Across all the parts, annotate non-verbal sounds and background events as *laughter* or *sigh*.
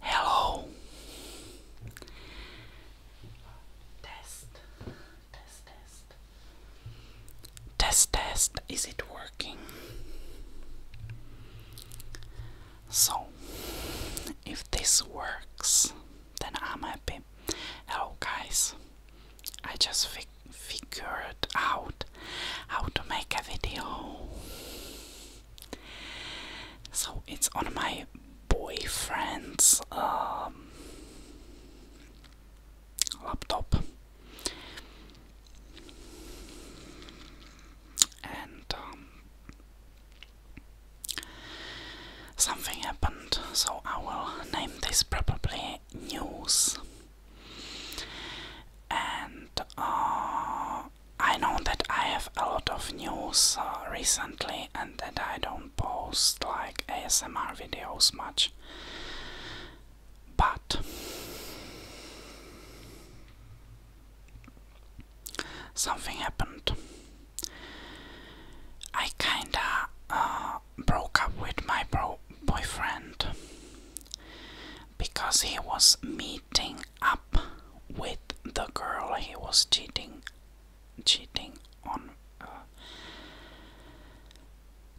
Hello. Test. Test test. Is it working? So, if this works, then I'm happy. Hello guys. I just figured out how to make a video. So it's on my boyfriend's um, laptop. And um, something happened, so I will name this probably news. And uh, I know that I have a lot of news uh, recently and that I don't post like ASMR videos much. But something happened. I kinda uh, broke up with my bro boyfriend because he was meeting up with the girl he was cheating cheating on uh,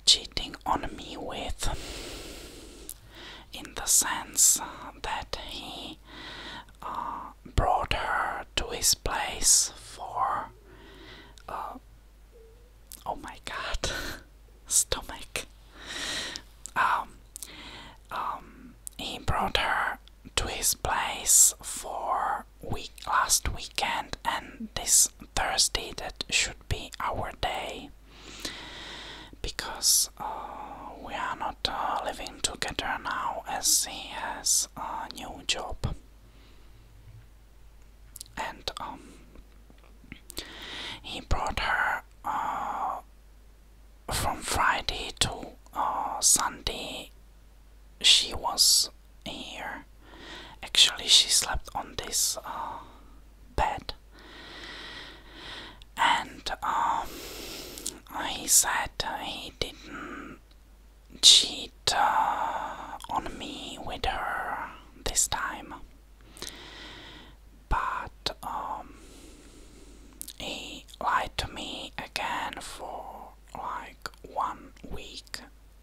cheating on me with in the sense that he uh, brought her to his place for uh, oh my god, *laughs* stomach. Um, um, he brought her to his place for week last weekend, and this Thursday that should be our day because uh, we are not uh, living together now as he has a new job and um, he brought her uh, from Friday to uh, Sunday. She was here. Actually, she slept on this uh, bed, and um, he said he didn't cheat uh, on me with her this time. But um, he lied to me again for like one week,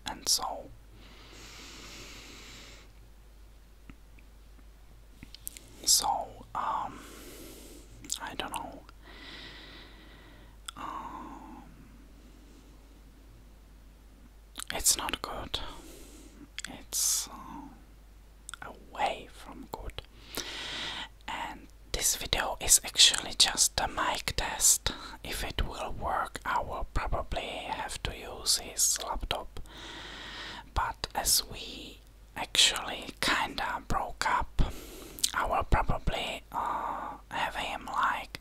and so so um, I don't know. Um, it's not good. It's uh, away from good. And this video is actually just a mic test. If it will work, I will probably have to use his laptop. But as we actually kinda broke up, I will probably uh, have him like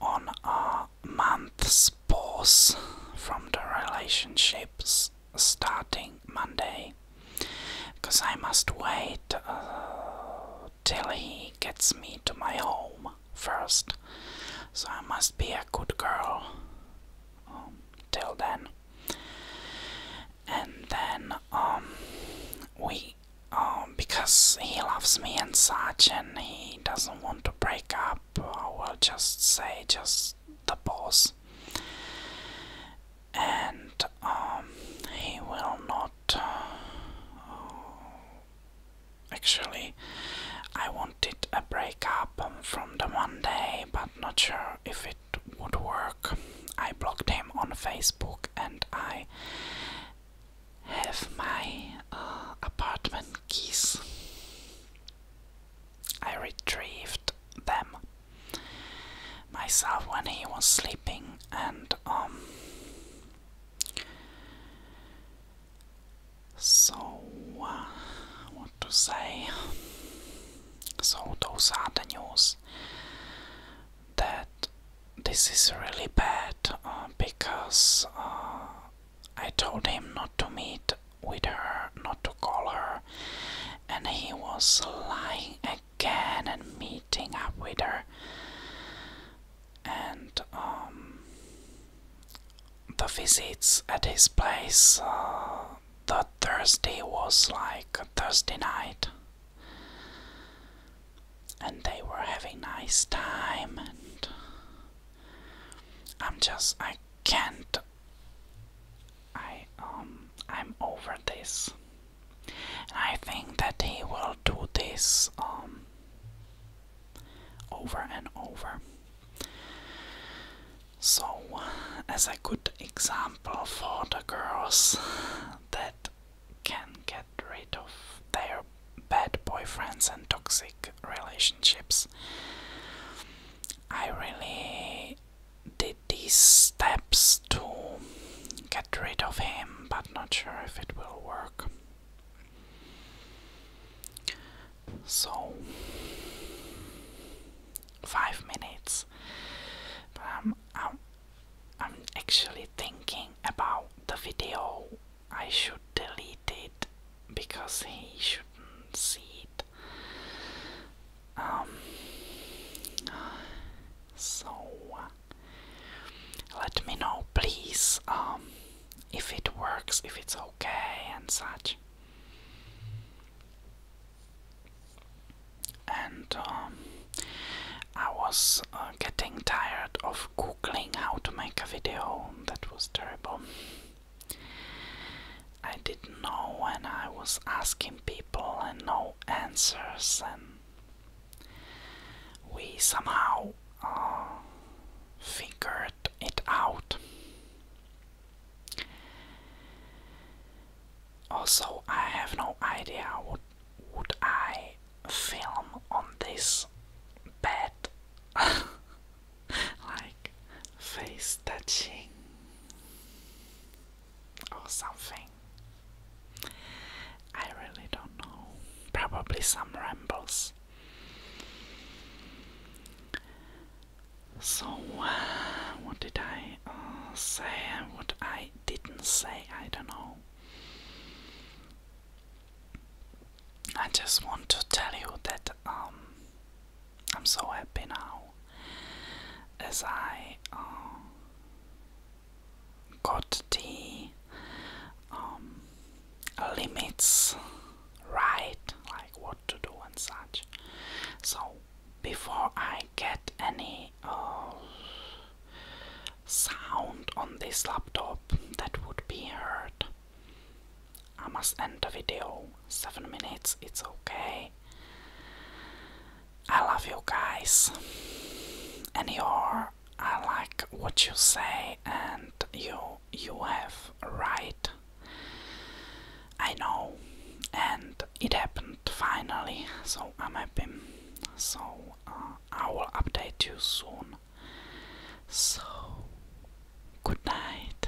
on a month's pause from the relationships starting Monday because I must wait uh, till he gets me to my home first. So I must be a good girl um, till then and then um we um because he loves me and such and he doesn't want to break up I will just say just the boss and um he will not uh, actually I wanted a breakup um, from the Monday, but not sure if it would work. I blocked him on Facebook and I have my uh, apartment keys. I retrieved them myself when he was sleeping and um so uh, what to say so those are the news this that this is really bad uh, because uh, I told him not to meet with her, not to call her, and he was lying again and meeting up with her. And um, the visits at his place, uh, the Thursday was like a Thursday night, and they were having nice time. And I'm just I can't. I um I'm over this, I think that he will do this um over and over. So, as a good example for the girls that can get rid of their bad boyfriends and toxic relationships, I really did these steps to get rid of him, but not sure if it will work so five minutes. But I'm, I'm, I'm actually thinking about the video. I should delete it because he shouldn't see it. Um, so uh, let me know, please, um, if it works, if it's okay, and such. And um, I was uh, getting tired of googling how to make a video, that was terrible. I didn't know, and I was asking people, and no answers, and we somehow uh, figured it out. Also, I have no idea what would I film on this bed. *laughs* like face touching or something. I really don't know. Probably some rambles. So, uh, what did I uh, say? What I didn't say? I don't know. I just want to tell you that um, I'm so happy now as I uh, got the um, limits right like what to do and such so before i get any uh, sound on this laptop that would be heard i must end the video 7 minutes it's okay i love you guys and your I like what you say and you you have right. I know and it happened finally, so I'm happy. So uh, I will update you soon. So good night.